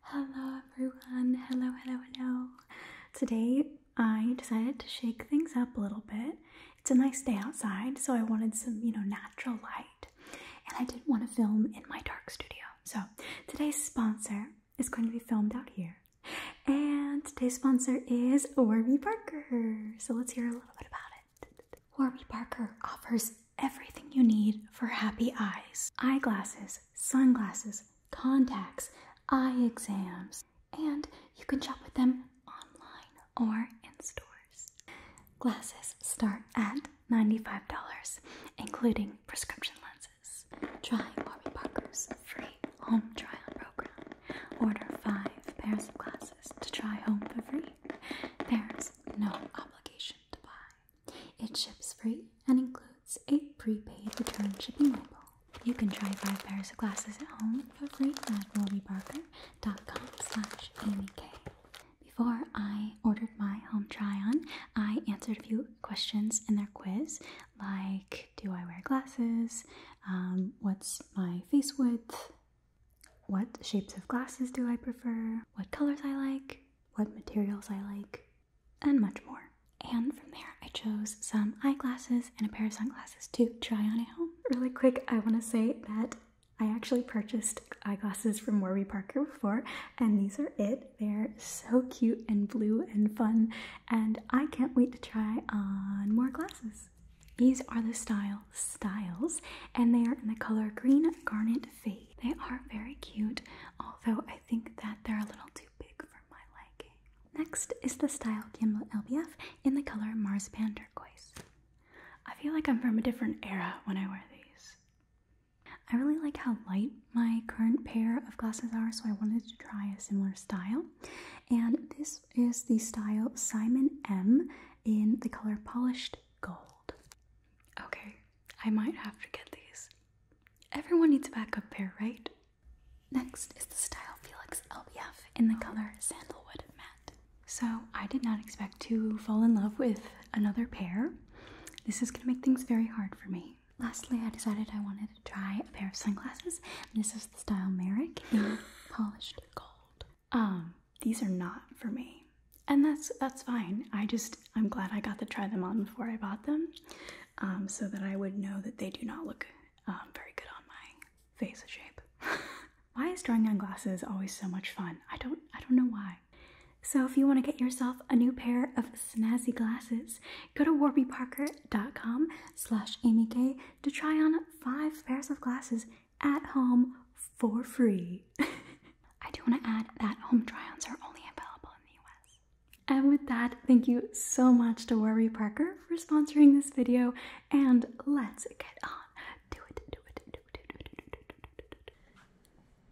Hello everyone, hello, hello, hello. Today I decided to shake things up a little bit. It's a nice day outside, so I wanted some, you know, natural light. And I didn't want to film in my dark studio. So today's sponsor is going to be filmed out here. And today's sponsor is Warby Parker. So let's hear a little bit about it. Warby Parker offers everything you need for happy eyes. Eyeglasses, sunglasses, contacts, eye exams, and you can shop with them online or in stores. Glasses start at $95, including prescription lenses. Try Warby Parker's free home try-on program. Order five pairs of glasses to try home for free. There's no obligation to buy. It ships free and includes a prepaid return shipping label. You can try five pairs of glasses at home for free at rollybarker.com slash amyk. Before I ordered my home try-on, I answered a few questions in their quiz, like do I wear glasses, um, what's my face width, what shapes of glasses do I prefer, what colors I like, what materials I like, and much more. And from there, I chose some eyeglasses and a pair of sunglasses to try on at home. Really quick, I want to say that I actually purchased eyeglasses from Warby Parker before, and these are it. They're so cute and blue and fun, and I can't wait to try on more glasses. These are the style styles, and they are in the color green garnet fade. They are very cute, although I think that they're a little too big for my liking. Next is the Style Gimlet LBF in the color Marzipan Turquoise. I feel like I'm from a different era when I wear these. I really like how light my current pair of glasses are, so I wanted to try a similar style. And this is the style Simon M in the color Polished Gold. Okay, I might have to get these. Everyone needs a backup pair, right? Next is the Style Felix LBF in the color Sandalwood Matte. So, I did not expect to fall in love with another pair. This is going to make things very hard for me. Lastly, I decided I wanted to try a pair of sunglasses. This is the Style Merrick polished gold. Um, these are not for me and that's that's fine. I just I'm glad I got to try them on before I bought them, um, so that I would know that they do not look um, very good on my face shape. why is drawing on glasses always so much fun? I don't I don't know why. So if you want to get yourself a new pair of snazzy glasses, go to warbyparker.com slash amyk to try on five pairs of glasses at home for free. I do want to add that home try-ons are only available in the US. And with that, thank you so much to Warby Parker for sponsoring this video, and let's get on.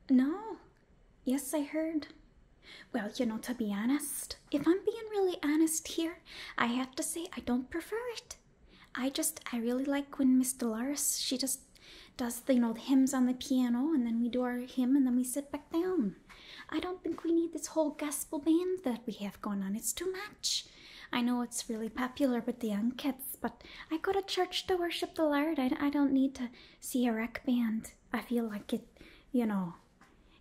No. Yes, I heard. Well, you know, to be honest, if I'm being really honest here, I have to say I don't prefer it. I just, I really like when Miss Dolores, she just does the, you know the hymns on the piano, and then we do our hymn, and then we sit back down. I don't think we need this whole gospel band that we have going on. It's too much. I know it's really popular with the young kids, but I go to church to worship the Lord. I, I don't need to see a rock band. I feel like it, you know,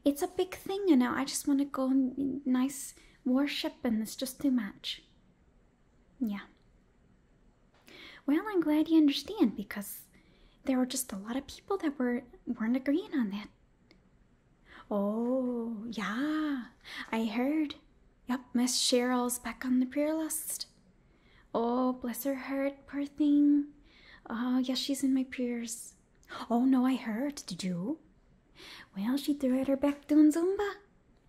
it's a big thing, you know. I just want to go and nice worship, and it's just too much. Yeah. Well, I'm glad you understand because there were just a lot of people that were weren't agreeing on that. Oh, yeah. I heard. Yep, Miss Cheryl's back on the prayer list. Oh, bless her heart, poor thing. Oh, yeah, she's in my prayers. Oh, no, I heard. Did you? Well, she threw out her back doing Zumba.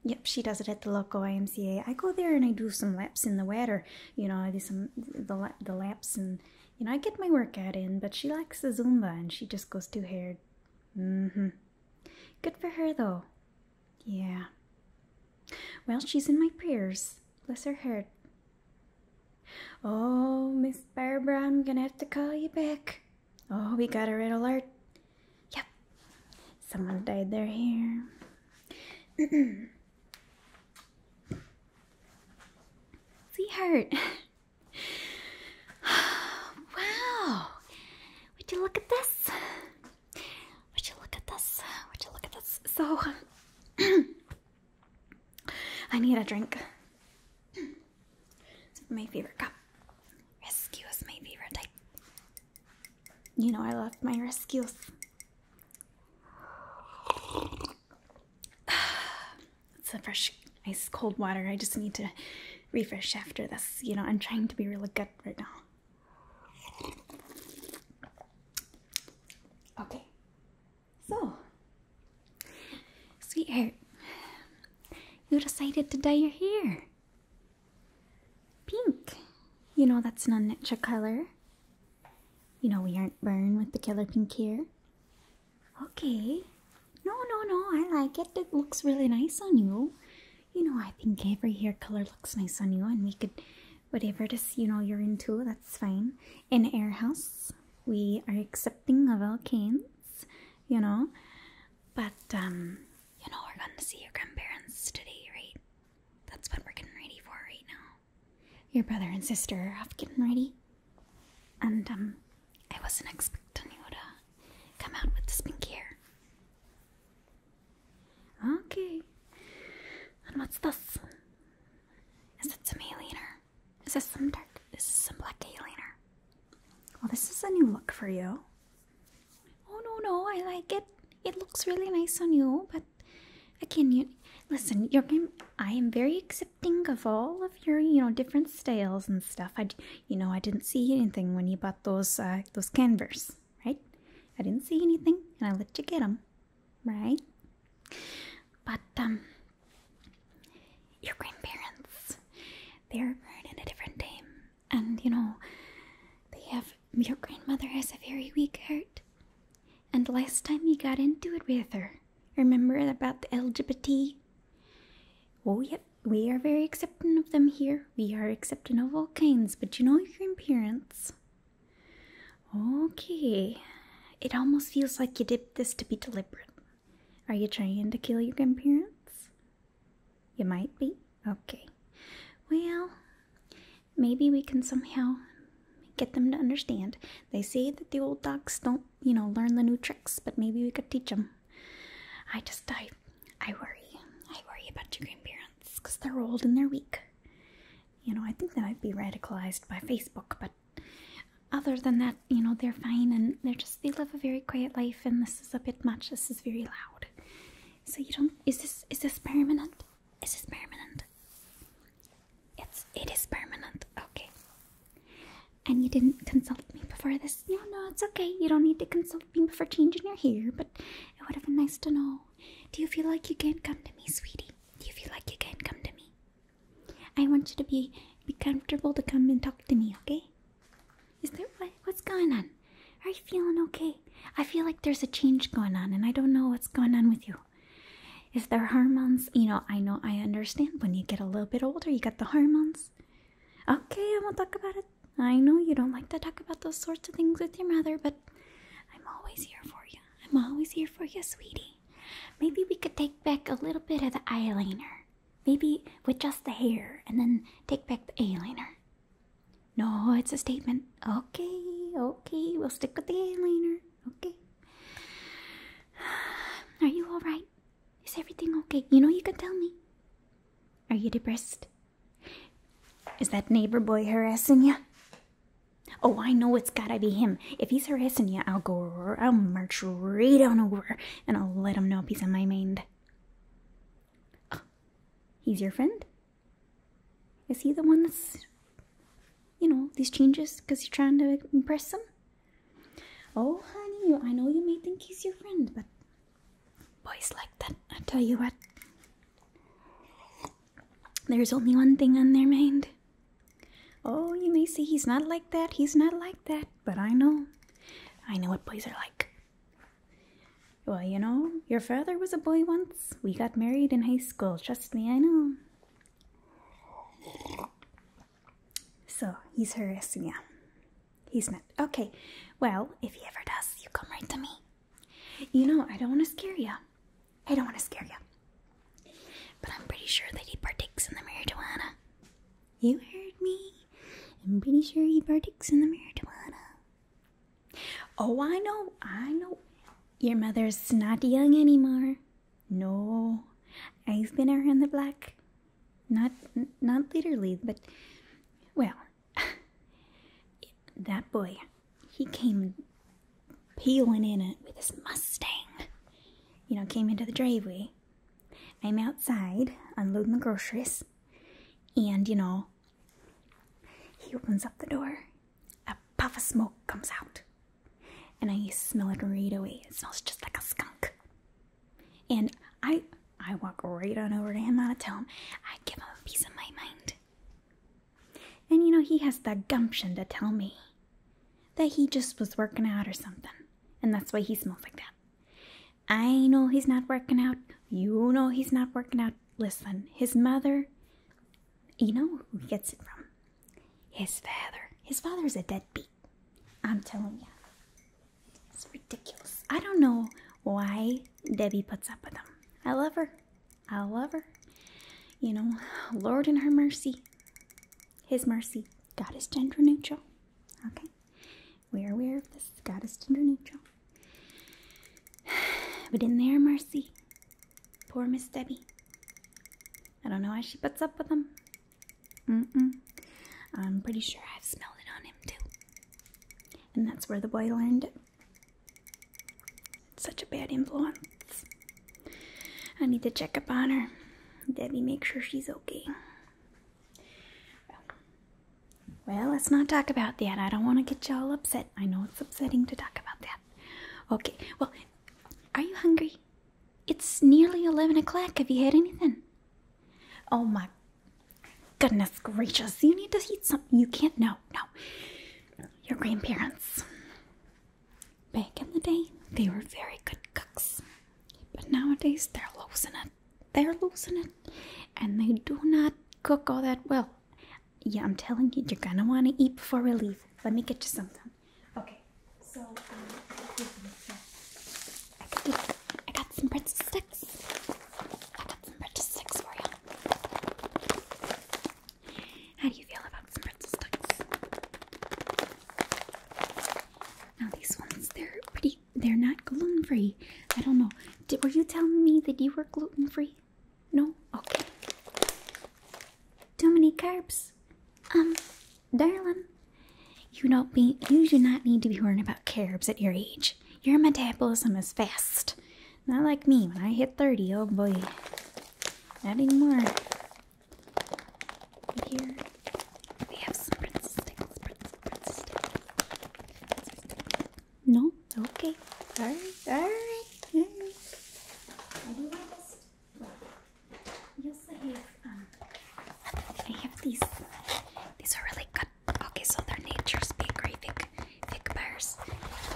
Yep, she does it at the local YMCA. I go there and I do some laps in the water you know I do some the the laps and you know I get my workout in. But she likes the Zumba and she just goes two haired. Mm-hmm. Good for her though. Yeah. Well, she's in my prayers. Bless her heart. Oh, Miss Barbara, I'm gonna have to call you back. Oh, we got a red alert. Yep. Someone died there. Here. Sweetheart. wow. Would you look at this? Would you look at this? Would you look at this? So, I need a drink. It's my favorite cup. Rescue is my favorite type. You know, I love my rescues. it's the fresh, ice cold water. I just need to refresh after this. You know, I'm trying to be really good right now. Okay. So, sweetheart, you decided to dye your hair. Pink. You know that's not an extra color. You know we aren't burned with the color pink here. Okay. No, no, no. I like it. It looks really nice on you. You know I think every hair color looks nice on you, and we could whatever it is you know you're into. That's fine. In Air House, we are accepting of all kinds. You know, but um, you know we're gonna see your grandparents today, right? That's what we're getting ready for right now. Your brother and sister are off getting ready. And, um, I wasn't expecting you to come out with the pink hair. Okay. And what's this? Is it some eyeliner? Is this some dark? This is some black eyeliner. Well, this is a new look for you. Oh no no, I like it. It looks really nice on you, but again, you listen. Your are I am very accepting of all of your you know different styles and stuff. I you know I didn't see anything when you bought those uh, those canvases, right? I didn't see anything, and I let you get them, right? But um, your grandparents, they're born in a different time, and you know they have your grandmother has a very weak heart. And last time you got into it with her, remember about the LGBT? Oh, yep, we are very accepting of them here. We are accepting of all kinds, but you know your appearance. Okay, it almost feels like you did this to be deliberate. Are you trying to kill your grandparents? You might be. Okay. Well, maybe we can somehow get them to understand. They say that the old dogs don't, you know, learn the new tricks, but maybe we could teach them. I just, I, I worry. I worry about your grandparents because they're old and they're weak. You know, I think they might be radicalized by Facebook, but other than that, you know, they're fine and they're just, they live a very quiet life and this is a bit much. This is very loud. So you don't, is this, is this permanent? Is this permanent? It's it is permanent. Okay. And you didn't consult me before this? No, no, it's okay. You don't need to consult me before changing your hair, but it would have been nice to know. Do you feel like you can not come to me, sweetie? Do you feel like you can not come to me? I want you to be be comfortable to come and talk to me, okay? Is there what's going on? Are you feeling okay? I feel like there's a change going on and I don't know what's going on with you. Is there hormones? You know, I know I understand when you get a little bit older, you got the hormones. Okay, I won't talk about it. I know you don't like to talk about those sorts of things with your mother, but I'm always here for you. I'm always here for you, sweetie. Maybe we could take back a little bit of the eyeliner. Maybe with just the hair and then take back the eyeliner. No, it's a statement. Okay, okay, we'll stick with the eyeliner. Okay. Are you alright? Is everything okay? You know you can tell me. Are you depressed? Is that neighbor boy harassing you? Oh, I know it's gotta be him. If he's harassing you, I'll go, I'll march right on over and I'll let him know he's on my mind. Oh, he's your friend? Is he the one that's, you know, these changes because you're trying to impress them. Oh, honey, I know you may think he's your friend, but boys like that, I tell you what. There's only one thing on their mind. Oh, you may say he's not like that, he's not like that, but I know. I know what boys are like. Well, you know, your father was a boy once. We got married in high school. Trust me, I know. So, he's harassing you. He's not. Okay, well, if he ever does, you come right to me. You know, I don't want to scare you. I don't want to scare you. But I'm pretty sure that he partakes in the marijuana. You heard me. I'm pretty sure he partakes in the marijuana. Oh, I know, I know. Your mother's not young anymore. No, I've been around the block. Not, not literally, but well, that boy, he came peeling in it with his Mustang. You know, came into the driveway. I'm outside unloading the groceries, and you know, he opens up the door. A puff of smoke comes out. And I smell it right away. It smells just like a skunk. And I I walk right on over to him and I tell him, I give him a piece of my mind. And you know, he has the gumption to tell me that he just was working out or something. And that's why he smells like that. I know he's not working out. You know he's not working out listen, his mother, you know who he gets it from? His father. His father is a deadbeat. I'm telling you. It's ridiculous. I don't know why Debbie puts up with him. I love her. I love her. You know, Lord in her mercy, His mercy, God is gender neutral. Okay? We're aware of this. God is gender neutral. But in there, mercy, poor Miss Debbie. I don't know why she puts up with him. Mm-mm. I'm pretty sure I've smelled it on him too. And that's where the boy learned it. such a bad influence. I need to check up on her. Debbie, make sure she's okay. Well, well, let's not talk about that. I don't want to get y'all upset. I know it's upsetting to talk about that. Okay, well, are you hungry? It's nearly 11 o'clock. Have you had anything? Oh my goodness gracious. You need to eat something. You can't. No, no. Your grandparents. Back in the day, they were very good cooks. But nowadays, they're losing it. They're losing it. And they do not cook all that well. Yeah, I'm telling you, you're gonna wanna eat before we leave. Let me get you something. Okay, so um, I, got some pretzel sticks. I got some sticks for you. How do you feel about some sticks? Now these ones, they're pretty, they're not gluten-free. I don't know were you telling me that you were gluten free? No? Okay. Too many carbs? Um, darling, you don't be you do not need to be worrying about carbs at your age. Your metabolism is fast. Not like me when I hit 30, oh boy. Not anymore. Here we have some princess sticks, no? Okay. Alright, alright, alright. Um, I have. these. These are really good. Okay, so they're nature's bakery fig, fig bars.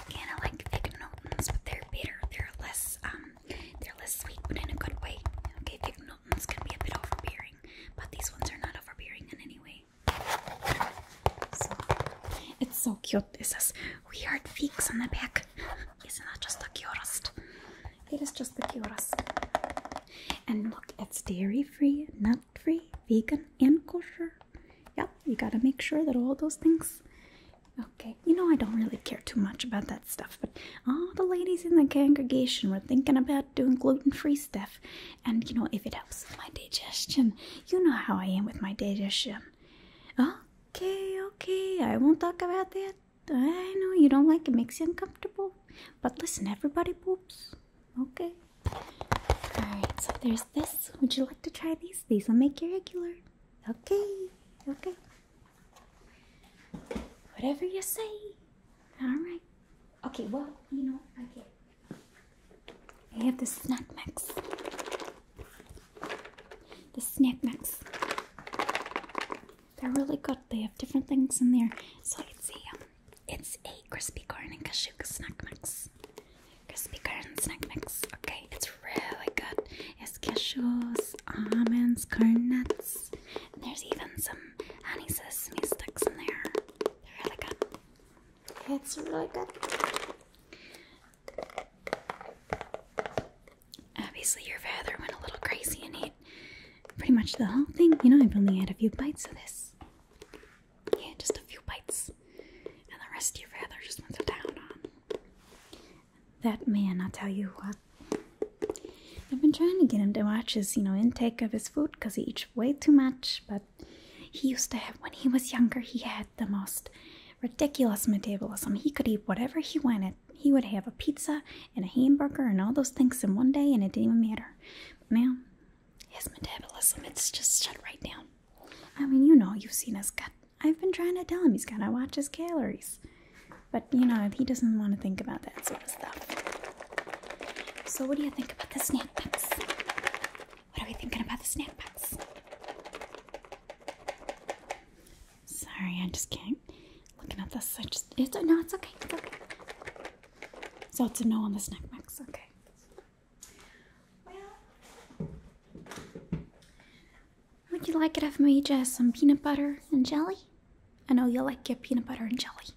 Kind of like fig Newtons, but they're bitter. They're less, um, they're less sweet, but in a good way. Okay, fig Newtons can be a bit overbearing, but these ones are not overbearing in any way it's so cute. It says weird figs on the back. is not that just the cutest. It is just the cutest. And look, it's dairy free, nut free, vegan, and kosher. Yep, you gotta make sure that all those things. Okay, you know I don't really care too much about that stuff, but all the ladies in the congregation were thinking about doing gluten free stuff. And you know, if it helps my digestion, you know how I am with my digestion. Okay, okay, I won't talk about that. I know you don't like it, makes you uncomfortable. But listen, everybody poops. Okay. Alright, so there's this. Would you like to try these? These will make you regular. Okay, okay. Whatever you say. Alright. Okay, well, you know, Okay. I have the snack mix. The snack mix. They're really good. They have different things in there. So it's a see. Um, it's a crispy corn and cashew snack mix. Crispy corn snack mix. Okay, it's really good. It's cashews, almonds, corn nuts. there's even some honey sesame sticks in there. They're really good. It's really good. Obviously, your father went a little crazy and ate pretty much the whole thing. You know, I've only had a few bites of this. Yeah, just a few bites. And the rest of your father just went to on. That man, I'll tell you what. I've been trying to get him to watch his, you know, intake of his food because he eats way too much, but he used to have, when he was younger, he had the most ridiculous metabolism. He could eat whatever he wanted. He would have a pizza and a hamburger and all those things in one day, and it didn't even matter. now, his metabolism, it's just shut right down. I mean, you know, you've seen his gut. I've been trying to tell him he's gotta watch his calories. But, you know, he doesn't want to think about that sort of stuff. So, what do you think about this now? What are we thinking about the snack box? Sorry, I just can't. Looking at this, I just. It's, no, it's okay. So it's a no on the snack box. Okay. Well, would you like it if I made some peanut butter and jelly? I know you'll like your peanut butter and jelly.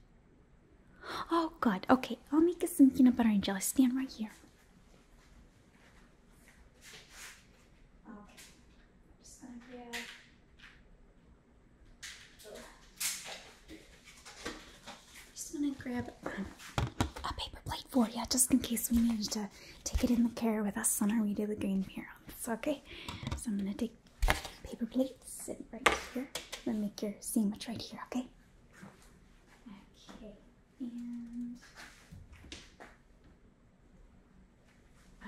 Oh god, okay, I'll make us some peanut butter and jelly. Stand right here. I'm just gonna grab a paper plate for you just in case we manage to take it in the car with us on our way to the green pyramids, okay? So I'm gonna take paper plates, sit right here, and make your sandwich right here, okay? Okay, and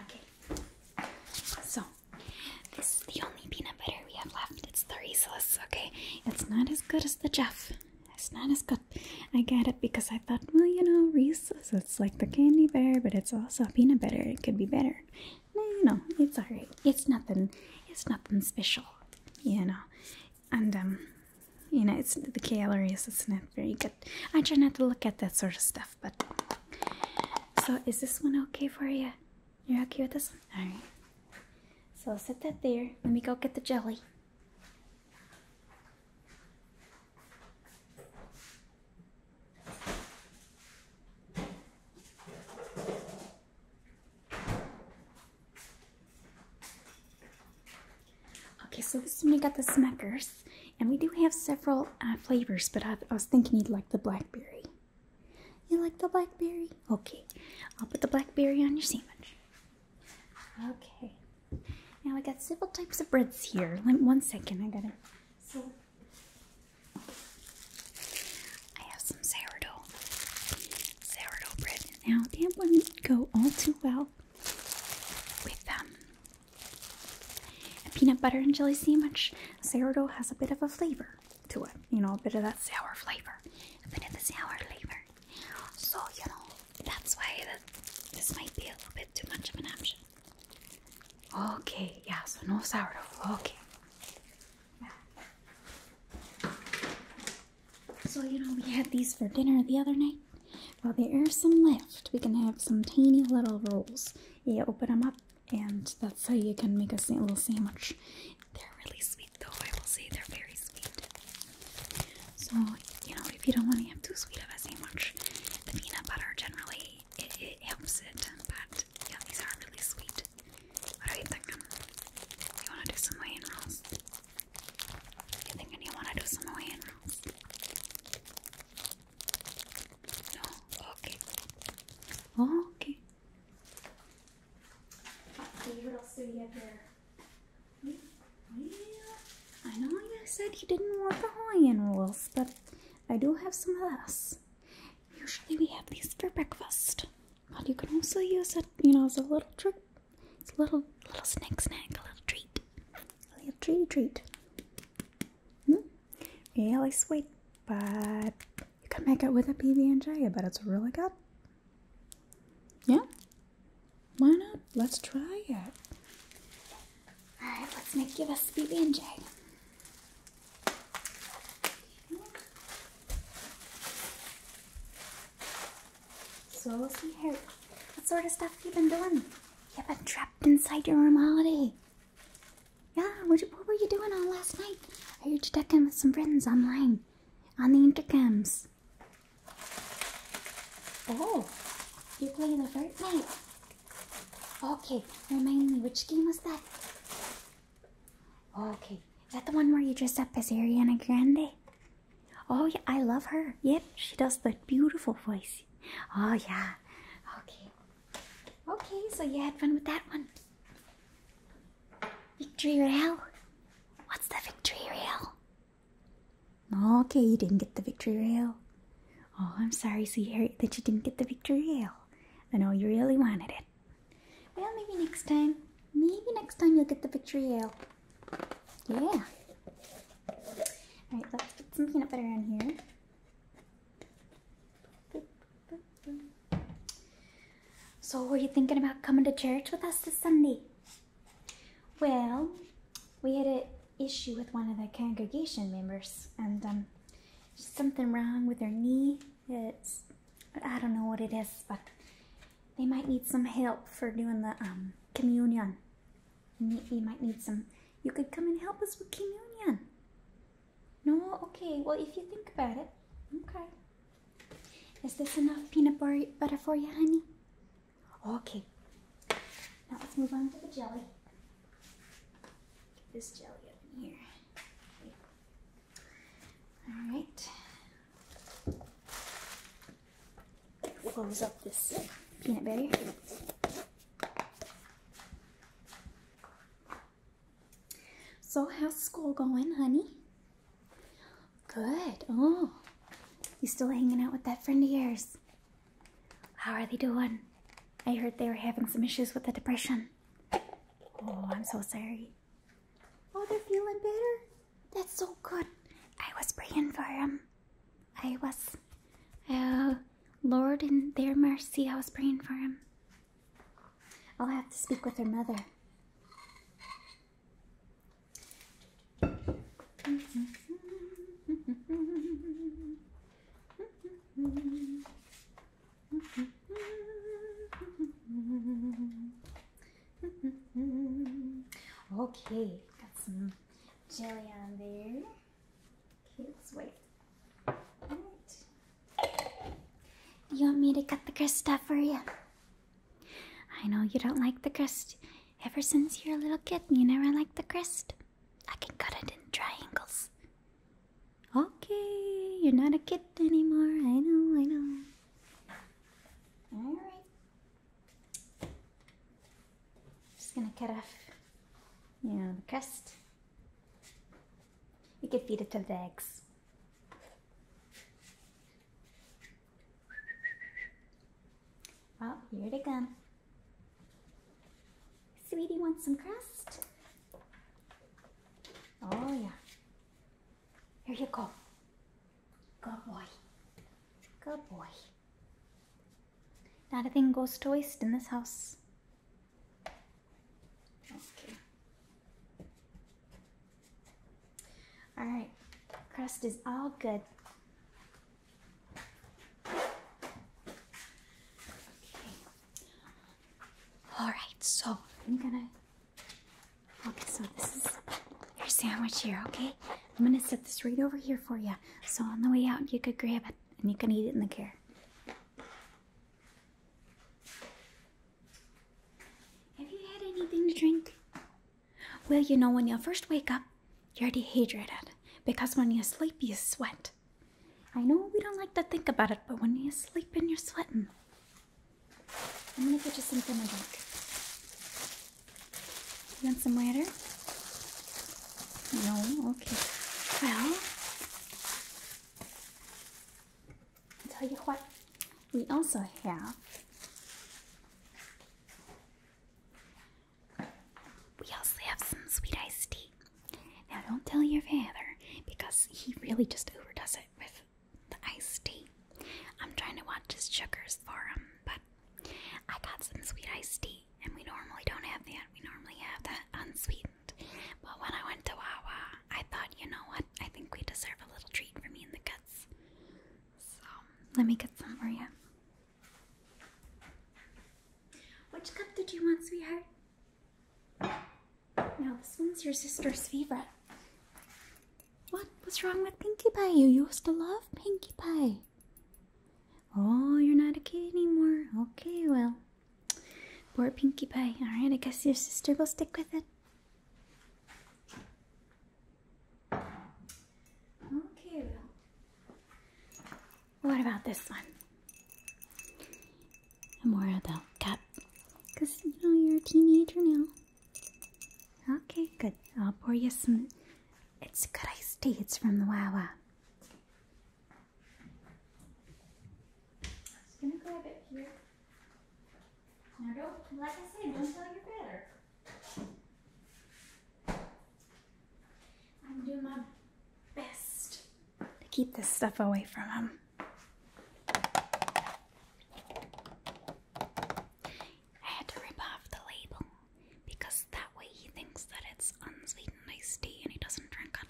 okay. So this is the only peanut butter we have left. It's the Reese's. Okay, it's not as good as the Jeff. It's not as good. I get it because I thought, well, you know, Reese's. It's like the candy bar, but it's also peanut butter. It could be better no, no, it's alright. It's nothing. It's nothing special, you know. And um, you know, it's the calories. It's not very good. I try not to look at that sort of stuff. But so, is this one okay for you? You're okay with this one? All right. So I'll set that there. Let me go get the jelly. Okay, so this is we got the smackers, and we do have several uh, flavors, but I, was thinking you'd like the blackberry. You like the blackberry? Okay, I'll put the blackberry on your sandwich. Okay, now we got several types of breads here. one second, I gotta. I have some sourdough, sourdough bread. Now that wouldn't go all too well with um, a peanut butter and jelly sandwich. Sourdough has a bit of a flavor to it, you know, a bit of that sour flavor, a bit of the sour flavor. So you know, that's why the, this might be a little bit too much of an option. Okay, yeah, so no sourdough. Okay. So, you know, we had these for dinner the other night. Well, there are some left. We can have some teeny little rolls. You open them up, and that's how you can make a little sandwich. They're really sweet, though. I will say they're very sweet. So, you know, if you don't want to have too sweet of a sandwich, the peanut butter generally it, it helps it. But yeah, these are really sweet. What are you thinking? You wanna do some weighing rolls? You thinking you wanna do some weighing rolls? No? Okay. Okay. I know you said you didn't want the Hawaiian rolls, but I do have some of this. Usually we have these for breakfast. But you can also use it, you know, as a little trick. It's a little little snack snack, a little treat. A little treat treat. Hmm? Really sweet, but you can make it with a PB and J, but it's really good. Yeah? Why not? Let's try it. Alright, let's make you this PB and J. So we'll here. What sort of stuff have you been doing? You've been trapped inside your room all day. Yeah, what, what were you doing all last night? Are heard you checking with some friends online, on the intercoms. Oh, you're playing a Fortnite. Okay, remind me, which game was that? Oh, okay. Is that the one where you dressed up as Ariana Grande? Oh, yeah, I love her. Yep, she does that beautiful voice. Oh, yeah. Okay. Okay, so you had fun with that one. Victory Royale? What's the Victory Royale? Okay, you didn't get the Victory Royale. Oh, I'm sorry, sweetheart, that you didn't get the Victory Royale. I know you really wanted it. Well, maybe next time. Maybe next time you'll get the ale. Yeah. Alright, let's put some peanut butter in here. So, were you thinking about coming to church with us this Sunday? Well, we had an issue with one of the congregation members, and um, something wrong with her knee. It's I don't know what it is, but they might need some help for doing the um, communion. You, you might need some. You could come and help us with communion. No, okay. Well, if you think about it, okay. Is this enough peanut butter for you, honey? Okay. Now let's move on to the jelly. Get this jelly up in here. All right. Close up this peanut butter. So how's school going, honey? Good. Oh, you still hanging out with that friend of yours? How are they doing? I heard they were having some issues with the depression. Oh, I'm so sorry. Oh, they're feeling better? That's so good. I was praying for them. I was, uh, Lord, in their mercy, I was praying for him. I'll have to speak with their mother. Okay, got some jelly on there. Kids, wait. Do you want me to cut the crust off for you? I know you don't like the crust. Ever since you were a little kid, you never liked the crust. I can cut it in triangles. Okay, you're not a kid anymore. I know, I know. All right. Just gonna cut off, you know, the crust. You can feed it to the eggs. Oh, here it come. Sweetie wants some crust. Oh, yeah. Here you go. Good boy. Good boy. Not a thing goes to waste in this house. Okay. All right. Crust is all good. All right, so I'm gonna. Okay, so this is your sandwich here, okay? I'm gonna set this right over here for you. So on the way out, you could grab it and you can eat it in the car. Have you had anything to drink? Well, you know, when you first wake up, you're dehydrated because when you sleep, you sweat. I know we don't like to think about it, but when you're sleeping, you're sweating. I'm gonna get you something I like. You want some water? No? Okay. Well, I'll tell you what, we also have. We also have some sweet iced tea. Now don't tell your father because he really just overdoes it with the iced tea. I'm trying to watch his sugars for him, but I got some sweet iced tea and we normally don't have that. We normally have that unsweetened. But when I went to Wawa, I thought, you know what? I think we deserve a little treat for me in the kids. So let me get some for you. Which cup did you want, sweetheart? Now, this one's your sister's favorite. What? What's wrong with Pinkie Pie? You used to love Pinkie Pie. Oh, you're not a kid anymore. Okay, well. Poor Pinkie Pie. Alright, I guess your sister will stick with it. Okay, well. What about this one? I'm more about that because you know you're a teenager now. Okay, good. I'll pour you some. It's good iced tea. It's from the Wawa. I'm gonna grab it here. Now don't, like I said, don't tell your better. I'm doing my best to keep this stuff away from him. I had to rip off the label because that way he thinks that it's unsweetened iced tea and he doesn't drink it.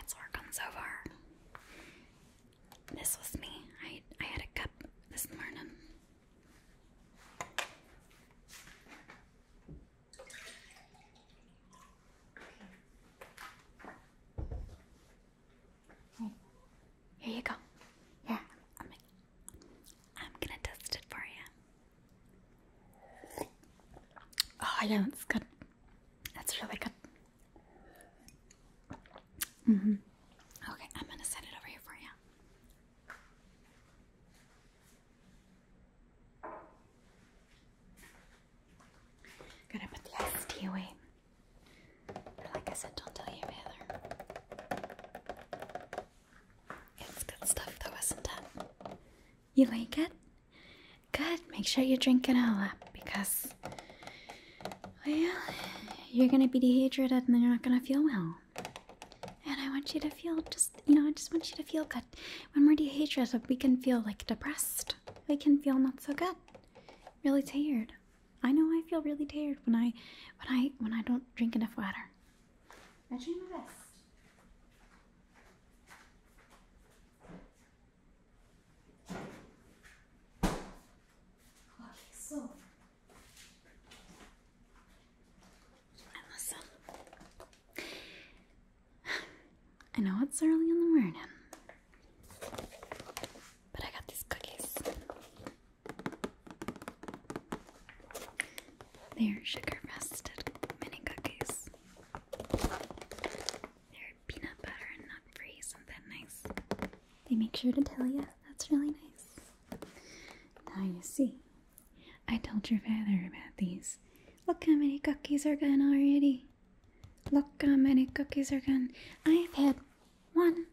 It's working so far. This was me. I I had a cup this morning here you go. Yeah, I'm, gonna test it for you. Oh, yeah, that's good. That's really good. Mm-hmm. Okay, I'm gonna set it over here for you i to put the iced tea away. like I said, don't tell your mother. It's good stuff though, isn't it? You like it? Good. Make sure you drink it all up because, well, you're gonna be dehydrated and then you're not gonna feel well. And I want you to feel just, you know, I just want you to feel good when we're dehydrated, we can feel like depressed. We can feel not so good, really tired. I know I feel really tired when I, when I, when I don't drink enough water. I try my best. Okay, oh, so. I know it's early in the morning, but I got these cookies. They are sugar frosted mini cookies. They're peanut butter and nut free, isn't that nice? They make sure to tell you that's really nice. Now you see I told your father about these. Look how many cookies are gone already. Look how many cookies are gone. I've had one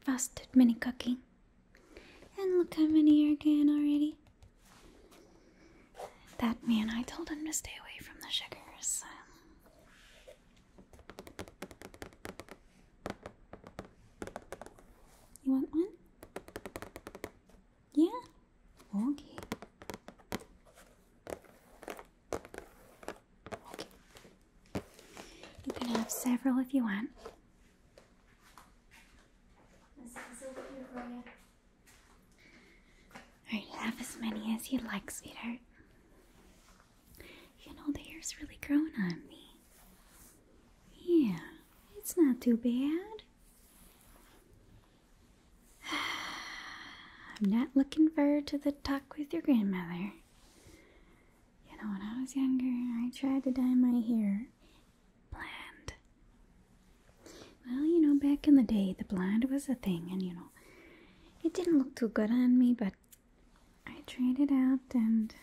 frosted mini cookie. And look how many are gone already. That man, I told him to stay away from the sugars. You want one? Yeah? Okay. You can have several if you want. This Alright, have as many as you like, sweetheart. You know, the hair's really growing on me. Yeah, it's not too bad. I'm not looking forward to the talk with your grandmother. You know, when I was younger, I tried to dye my hair blonde. Well, you know, back in the day, the blonde was a thing, and you know, it didn't look too good on me, but I tried it out, and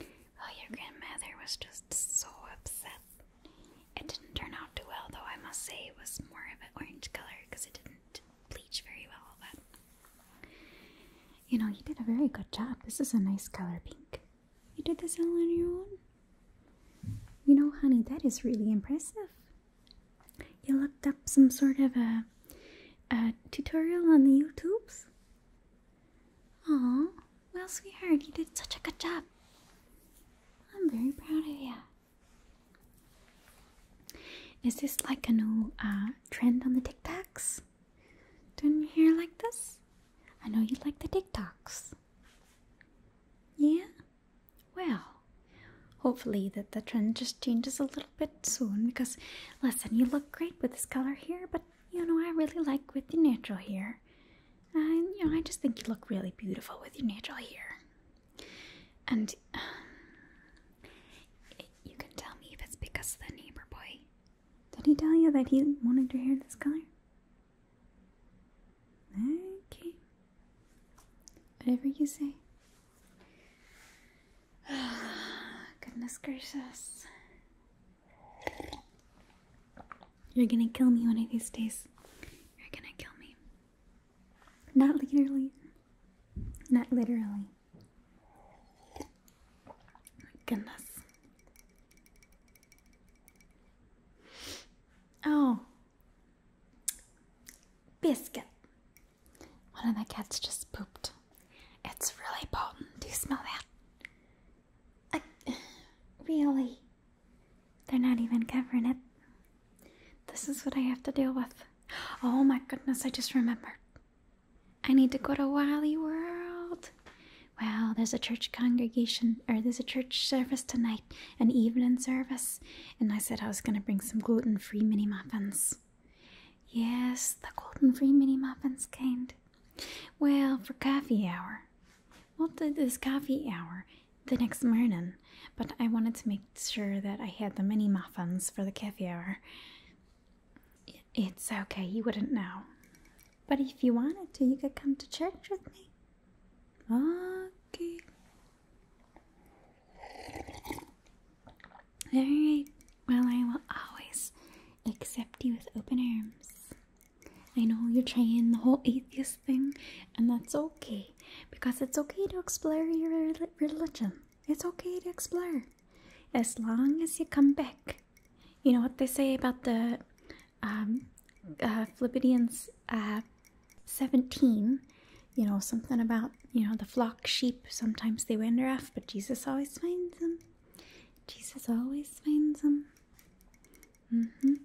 oh, your grandmother was just so upset. It didn't turn out too well, though I must say it was more of an orange color because it didn't bleach very well. But you know, you did a very good job. This is a nice color pink. You did this all on your own. You know, honey, that is really impressive. You looked up some sort of a, a tutorial on the YouTubes. Oh. Well, sweetheart, you did such a good job. I'm very proud of you. Is this like a new uh, trend on the TikToks? Doing your hair like this? I know you like the TikToks. Yeah? Well, hopefully that the trend just changes a little bit soon because, listen, you look great with this color here, but you know, I really like with the natural hair. And you know, I just think you look really beautiful with your natural hair. And you can tell me if it's because of the neighbor boy. Did he tell you that he wanted your hair this color? Okay. Whatever you say. Goodness gracious. You're gonna kill me one of these days. You're gonna kill me. Not literally. Not literally. Goodness. Oh. Biscuit. One of the cats just pooped. It's really potent. Do you smell that? I, really? They're not even covering it. This is what I have to deal with. Oh my goodness, I just remembered. I need to go to Wally World. Well, there's a church congregation, or there's a church service tonight, an evening service, and I said I was going to bring some gluten free mini muffins. Yes, the gluten free mini muffins kind. Well, for coffee hour, well, that this coffee hour the next morning, but I wanted to make sure that I had the mini muffins for the coffee hour. It's okay, you wouldn't know. But if you wanted to, you could come to church with me. Okay. Alright, well, I will always accept you with open arms. I know you're trying the whole atheist thing, and that's okay because it's okay to explore your religion. It's okay to explore as long as you come back. You know what they say about the um, uh, uh, 17, you know, something about, you know, the flock sheep, sometimes they wander off, but Jesus always finds them. Jesus always finds them. Mm -hmm.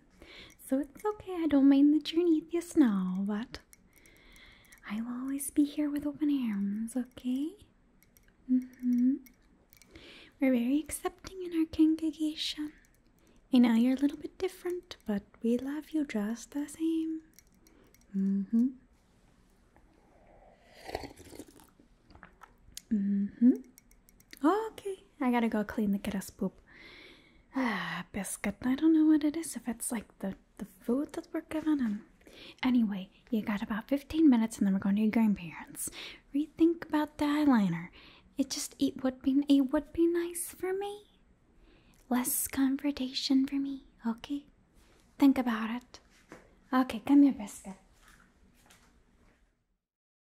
So it's okay, I don't mind that you're an atheist now, but I will always be here with open arms, okay? Mm hmm We're very accepting in our congregation. I know you're a little bit different, but we love you just the same. Mm hmm Mm hmm Oh, okay, I gotta go clean the kiddo's poop. Ah, biscuit. I don't know what it is. If it's like the the food that we're giving him. Um, anyway, you got about 15 minutes and then we're going to your grandparents. Rethink about the eyeliner. It just it would be it would be nice for me. Less confrontation for me, okay? Think about it. Okay, come here, biscuit.